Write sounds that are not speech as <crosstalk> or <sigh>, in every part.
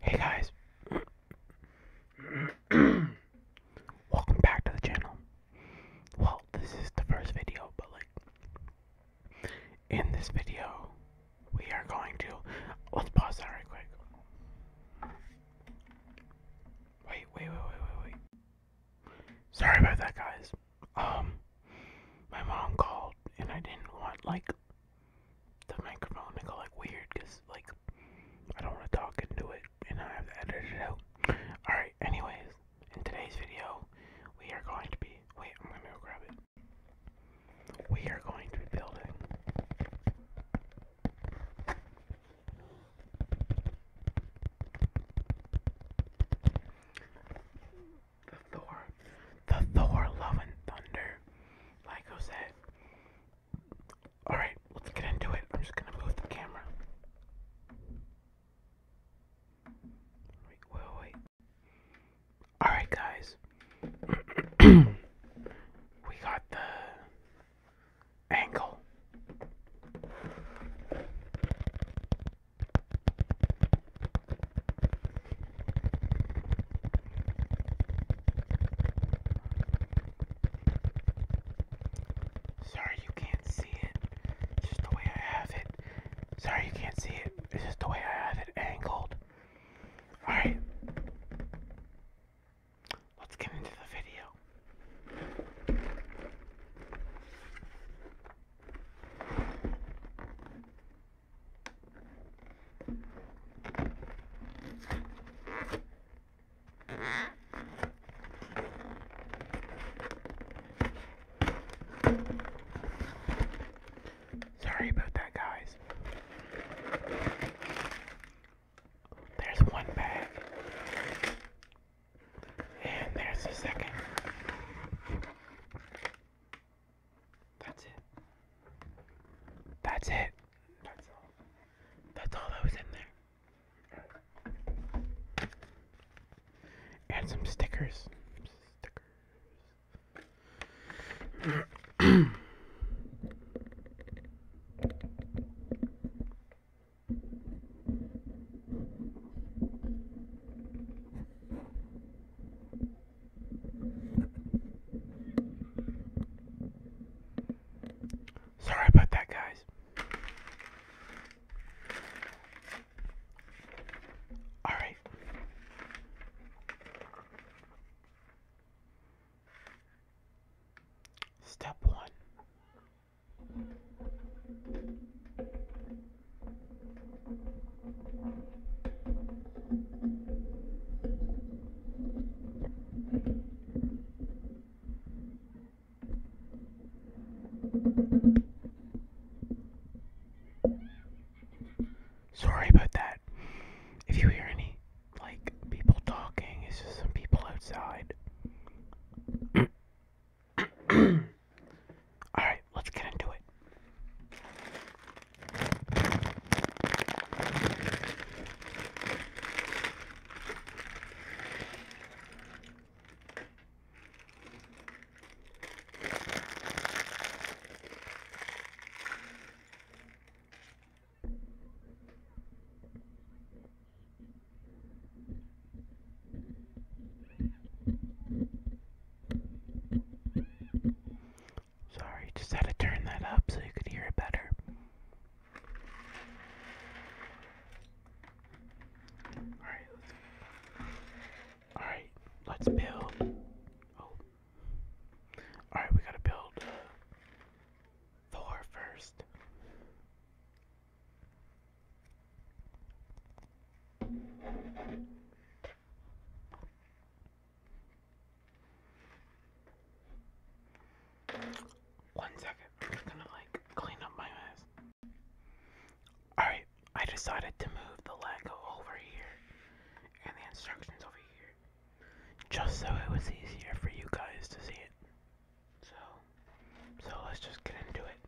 Hey guys, <clears throat> welcome back to the channel. Well, this is the first video, but like, in this video, we are going to. Let's pause that right quick. Wait, wait, wait, wait, wait, wait. Sorry about that, guys. Um, my mom called and I didn't want like the microphone to go like weird because like I don't want to talk into it and I have to edit it out. Alright, anyways, in today's video, we are going to be. Wait, I'm gonna go grab it. We are going to be building the Thor, the Thor Love and Thunder, like I said. Alright, let's get into it. I'm just gonna move the camera. Wait, wait, wait. Alright, guys. <clears throat> we got the angle. Sorry you can't see it. It's just the way I have it. Sorry you can't see it. It's just the way I have it angled. Alright. Let's get into the video. Sorry about that, guys. There's one bag, and there's the second. That's it. That's it. That's all. That's all that was in there. And some stickers. Stickers. <clears throat> Sorry about that, guys. All right. Step one. Sorry about that. If you hear any, like, people talking, it's just some people outside. <coughs> Alright. Alright, let's get into it. Sorry, just had to turn that up so you could hear it better. Alright, let's Alright, let's build. Oh. Alright, we gotta build uh, Thor first. One second, I'm just gonna like clean up my mess. Alright, I decided to move the Lego over here and the instructions over here just so it was easier for you guys to see it. So, so let's just get into it.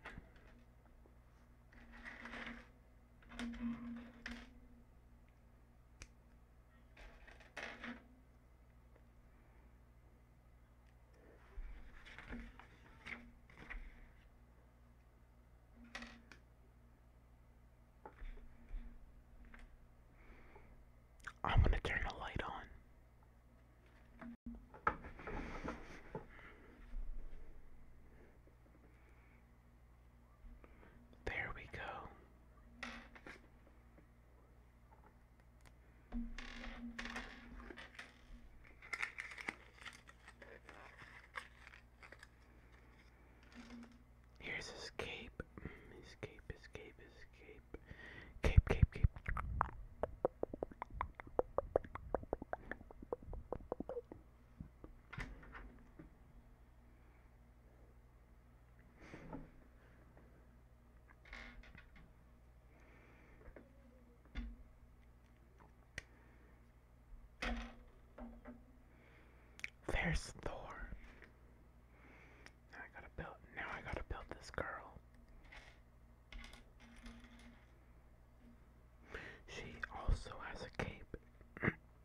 I'm going to turn the light on. There we go. Here's his cape. His cape, Cape, cape, cape. There's Thor. Now I gotta build. Now I gotta build this girl. She also has a cape. <clears throat>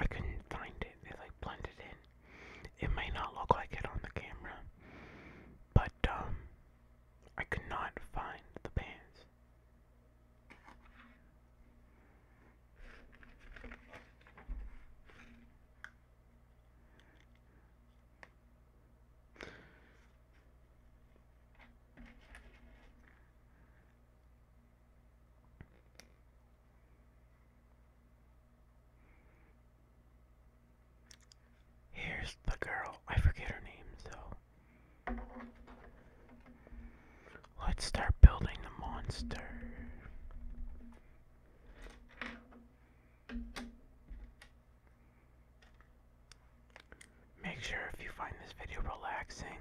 I couldn't find it. They like blended in. It may not look like it on the camera, but um, I could not find the pants. Here's the girl. I forget her name, so. Let's start building the monster. Make sure if you find this video relaxing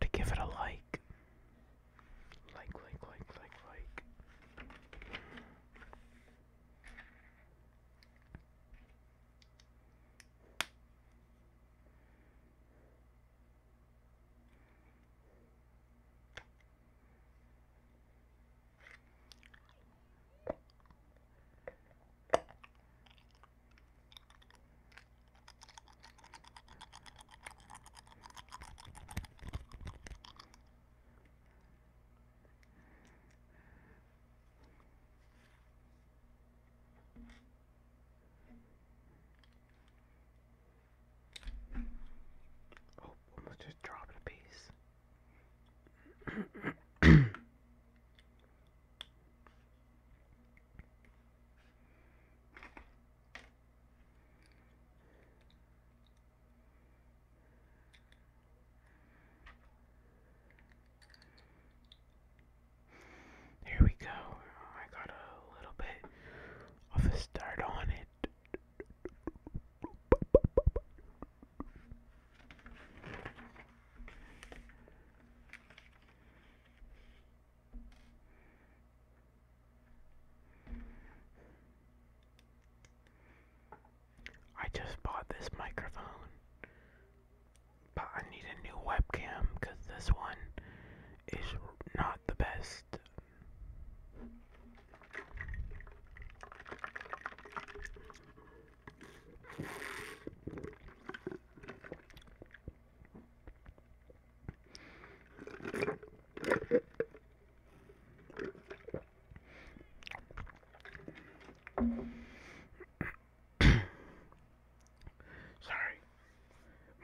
to give it a like. Like, like, like, like, like. Oh, almost just dropped a piece. Here we go. I got a little bit of a start on it. I just bought this microphone, but I need a new webcam because this one is not the best. Sorry,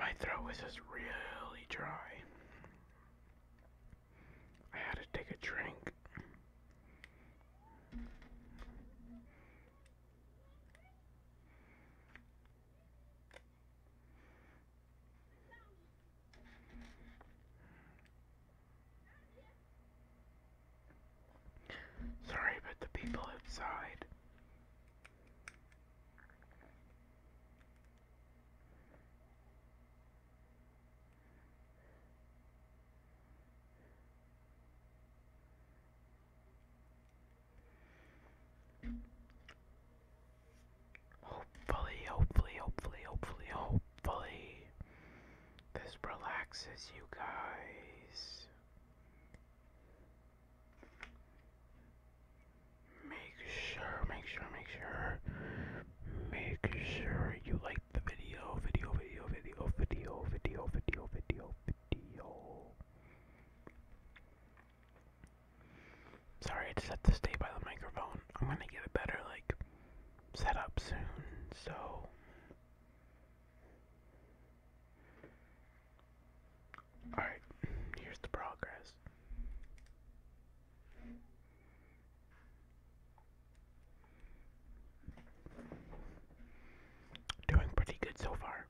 my throat was just really dry. I had to take a drink. Sorry about the people outside. Hopefully, hopefully, hopefully, hopefully, hopefully, this relaxes you guys. Make sure, make sure, make sure, make sure you like the video, video, video, video, video, video, video, video, video. Sorry, I just have to stay by the microphone. I'm gonna get a better like setup soon, so Alright, here's the progress. Doing pretty good so far.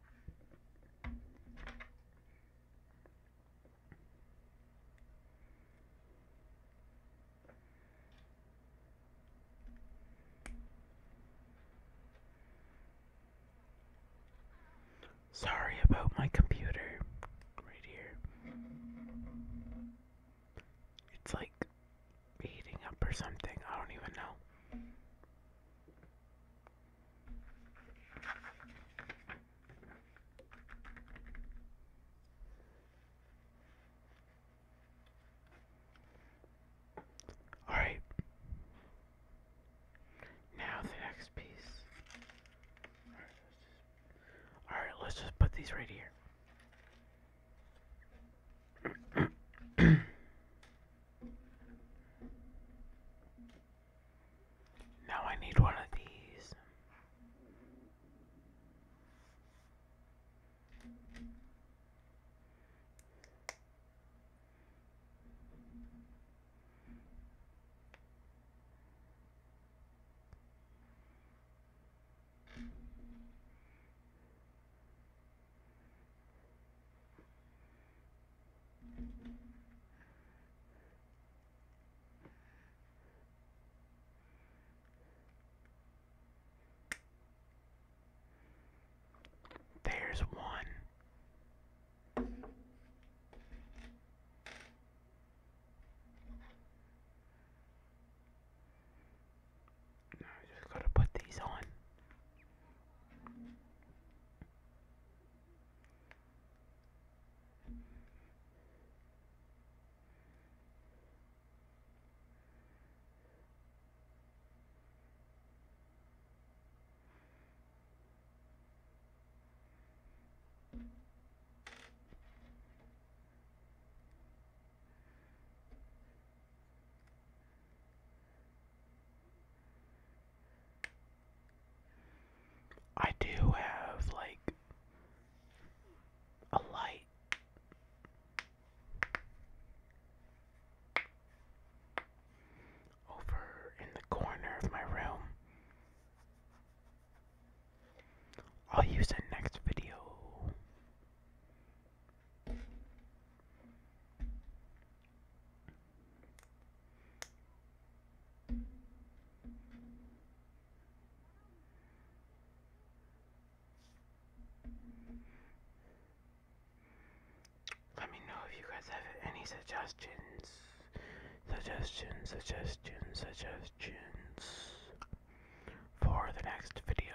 Sorry about my computer right here. It's like heating up or something. I don't even know. All right. Now the next piece. All right, let's just, put these right here. <clears throat> now I need one of these. There's one. Now I just gotta put these on. I do have like a light. Over in the corner of my room. I'll use the next video. Let me know if you guys have any suggestions. Suggestions, suggestions, suggestions for the next video.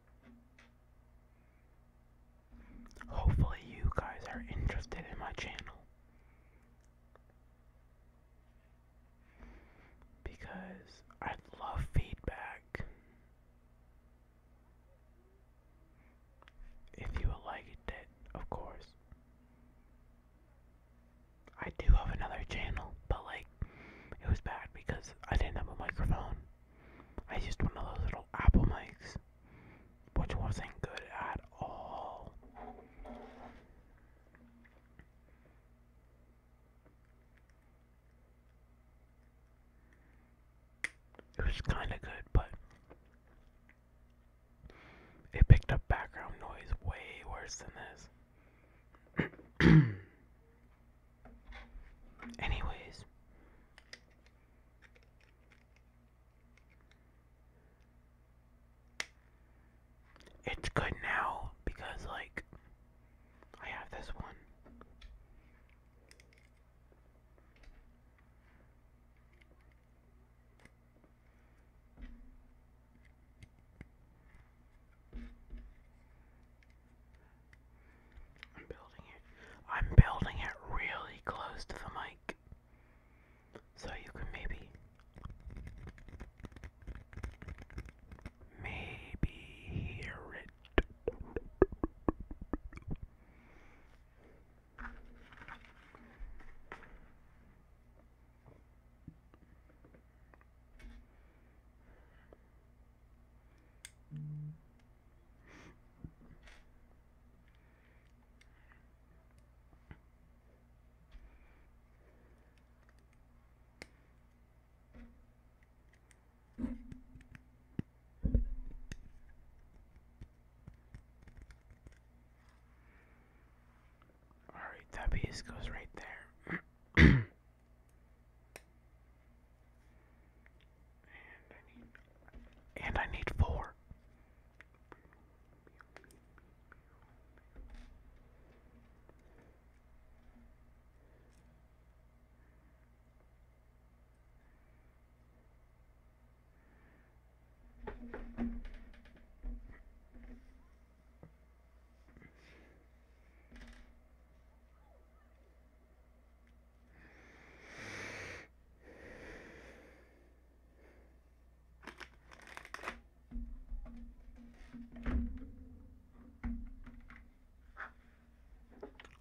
Hopefully, you guys are interested in my channel because I love feedback. If you would it, of course. I do have another channel, but like, it was bad because I didn't have a microphone. I used one of those little Apple mics, which wasn't good at all. It was kind of good, but it picked up background noise way worse than this. <clears throat> Anyways, it's good now because, like, I have this one. I'm building it. I'm building it really close to the mic. So you can maybe maybe hear it. All right, that piece goes right there. <clears throat> And I need and I need four.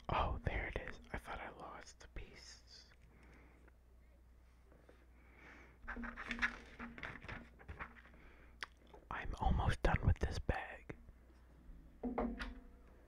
Oh, there it is. I thought I lost the piece. I'm almost done with this bag.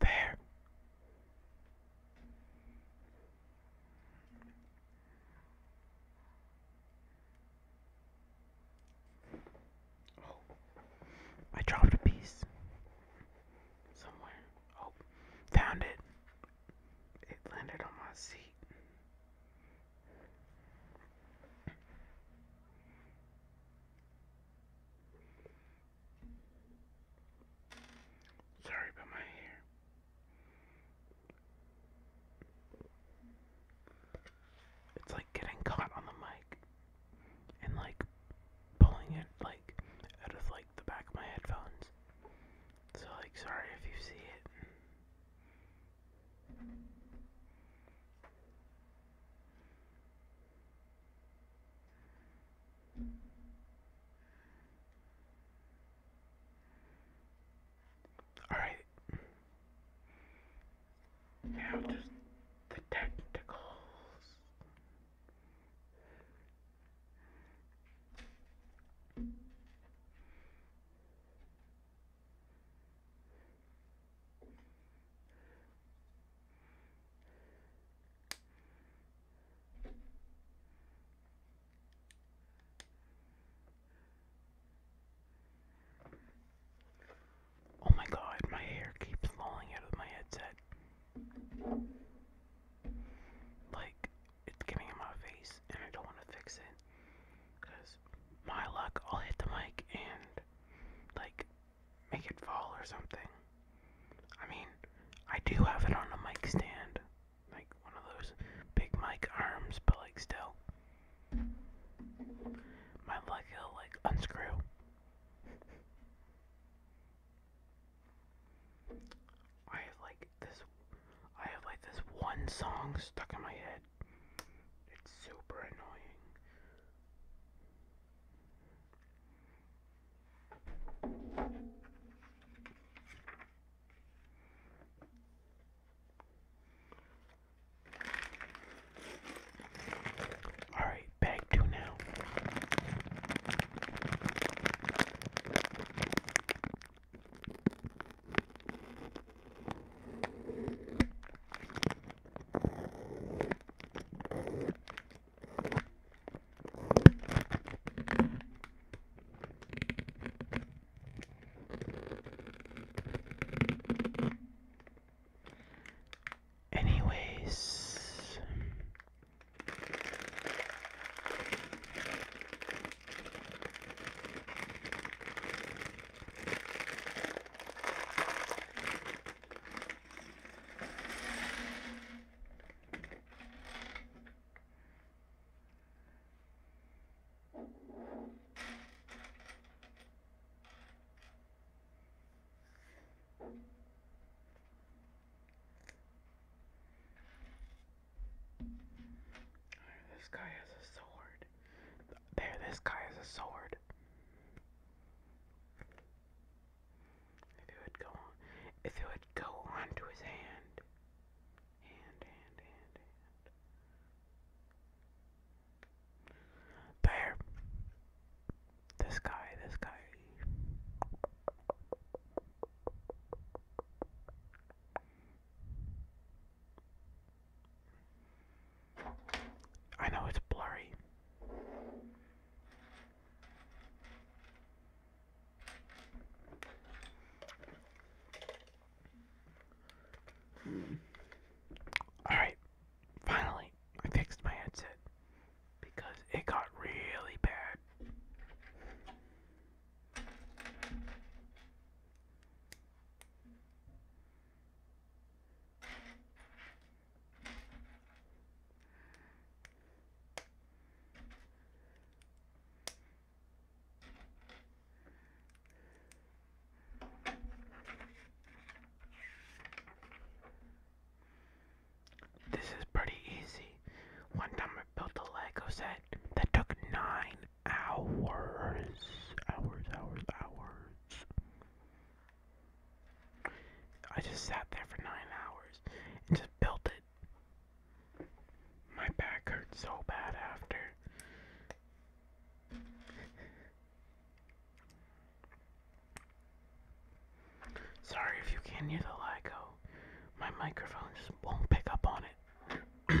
There. Oh, I dropped a piece somewhere. Oh, found it. It landed on my seat. Sorry about my hair. It's like getting caught on the mic and like pulling it like out of like the back of my headphones. So like sorry if you see it. All right. Now just the tentacles. Oh my god, my hair keeps falling out of my headset. Like, it's getting in my face, and I don't want to fix it. Because, my luck, I'll hit the mic and like make it fall or something. I mean, I do have it on a mic stand, like one of those big mic arms, but like still, my leg will like unscrew. I have like this, I have like this one song stuck in my head it's super annoying. All right, bag two now. Anyways, this guy has a sword. There, this guy has a sword. If it would go if it would go onto his hand, hand, hand, hand. There. This guy, this guy. I know it's blurry. Alright, finally, I fixed my headset because it got really bad. This is pretty easy. One time I built a Lego set that took nine hours. Hours, hours, hours. I just sat there for nine hours and just built it. My back hurt so bad after. Sorry if you can hear the Lego. My microphone just won't pick up on it. <clears throat>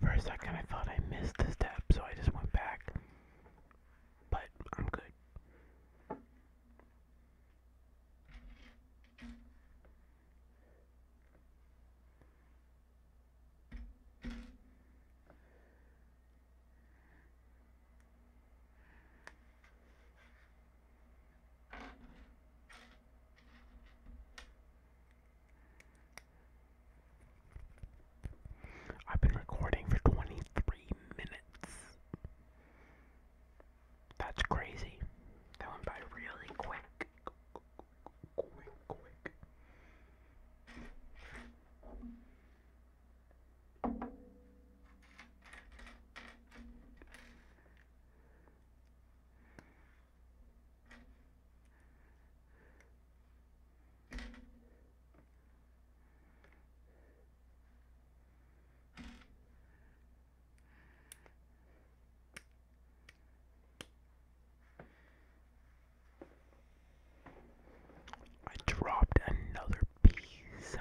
First, I kind of thought I missed a step, so I just went back. But I'm good. I've been recording for 23 minutes. That's crazy. That went by really quick. I dropped another piece.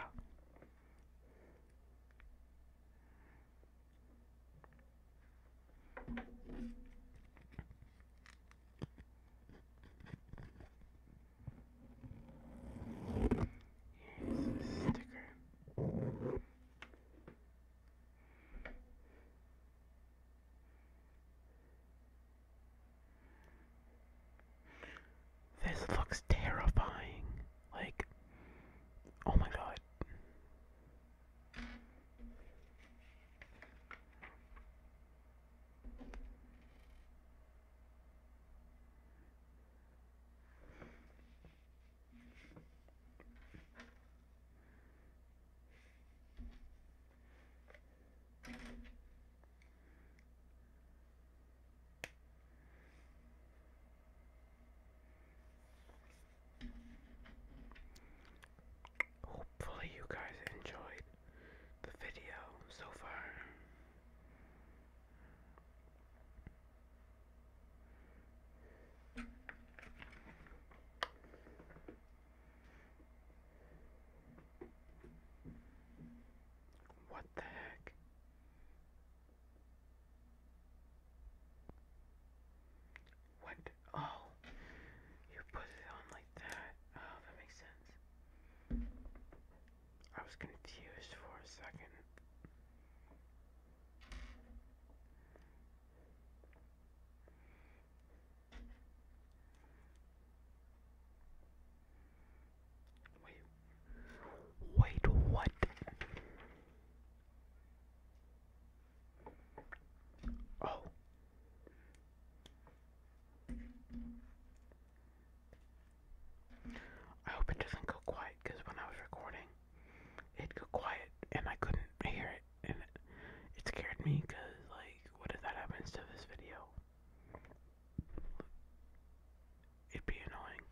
Here's the sticker. This looks terrifying. Like, oh my god. Hopefully, you guys enjoyed the video so far. What the heck? What? Oh, you put it on like that. Oh, that makes sense. I was confused for a second. Wait. Wait, what? Oh, I hope it doesn't go quiet because when I was recording, it go quiet and I couldn't hear it, and it, it scared me. Cause like, what if that happens to this video? It'd be annoying.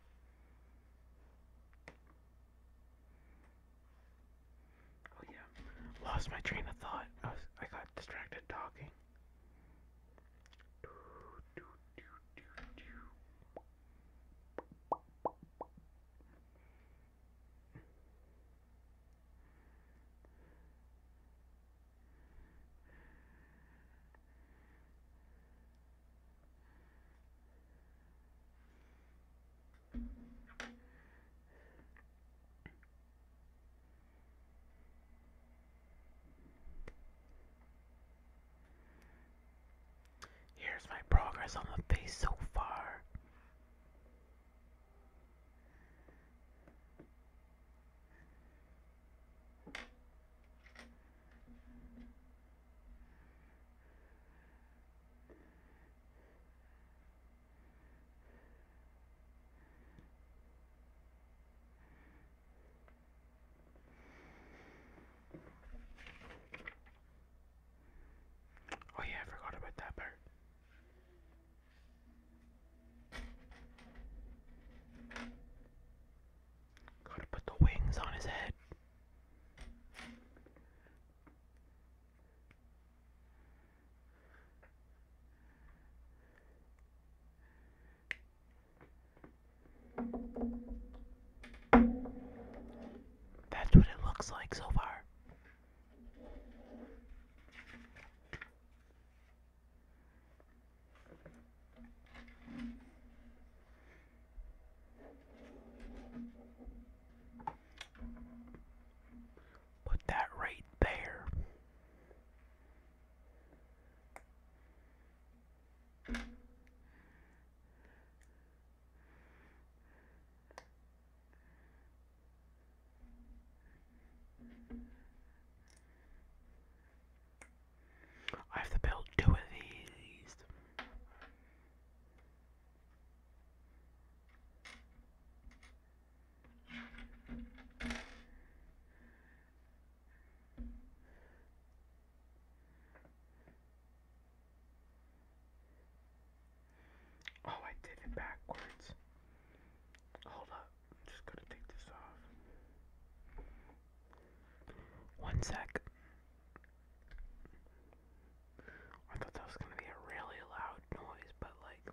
Oh yeah, lost my train of thought. I I got distracted talking. Here's my progress on the face so far. Oh yeah, I forgot about that part. Gotta put the wings on his head. That's what it looks like so far. Put that right there. I have to build two of these. Oh, I did it backwards. Hold up, I'm just gonna take this off. One sec. I thought that was gonna be a really loud noise, but like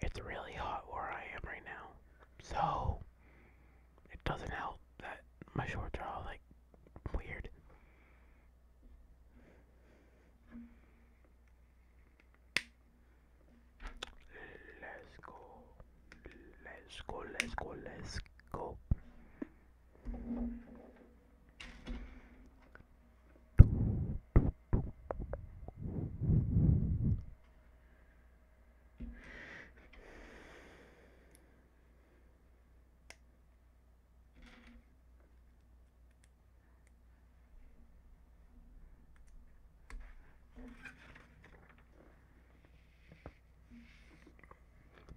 it's really hot where I am right now. So it doesn't help that my shorts are all like weird. Let's go. Let's go, let's go, let's go.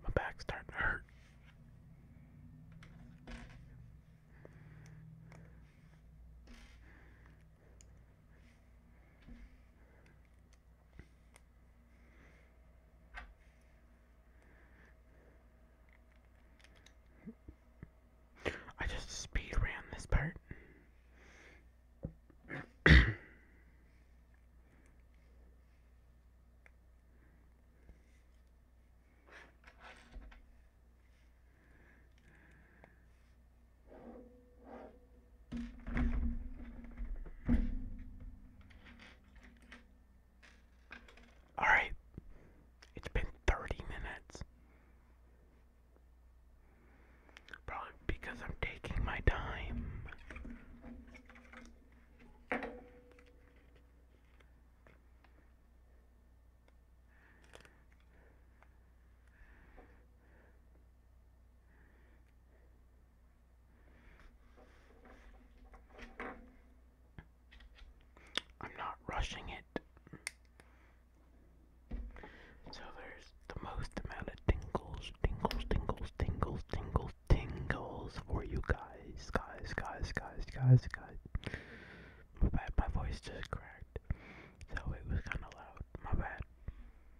My back's starting to hurt. I just speed ran this part. Alright, it's been 30 minutes. Probably because I'm taking my time. I'm not rushing it. So there's the most amount of tingles, tingles, tingles, tingles, tingles, tingles for you guys, guys, guys, guys, guys, guys. My bad, my voice just cracked, so it was kind of loud. My bad.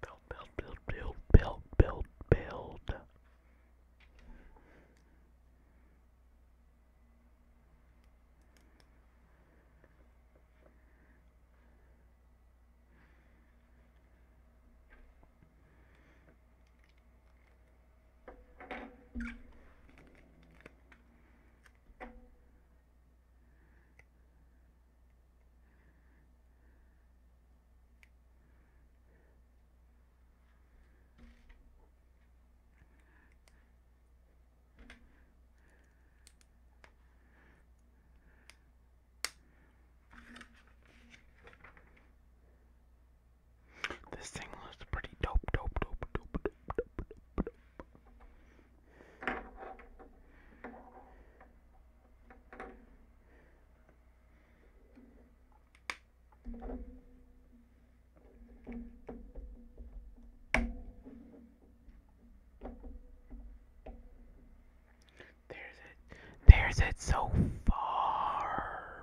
build, build, build, build, build, build, build. This thing looks pretty dope, dope, dope, dope, dope, dope, dope, dope. There's it. There's it so far.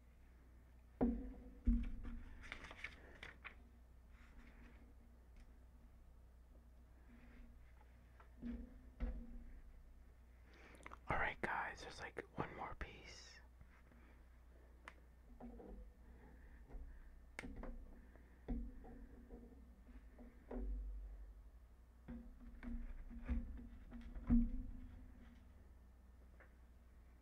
Alright, guys, there's like one more piece.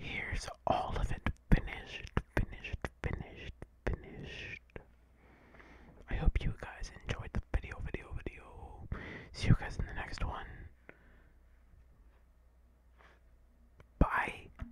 Here's all of it finished, finished, finished, finished. I hope you guys enjoyed the video, video, video. See you guys in the next one. Bye.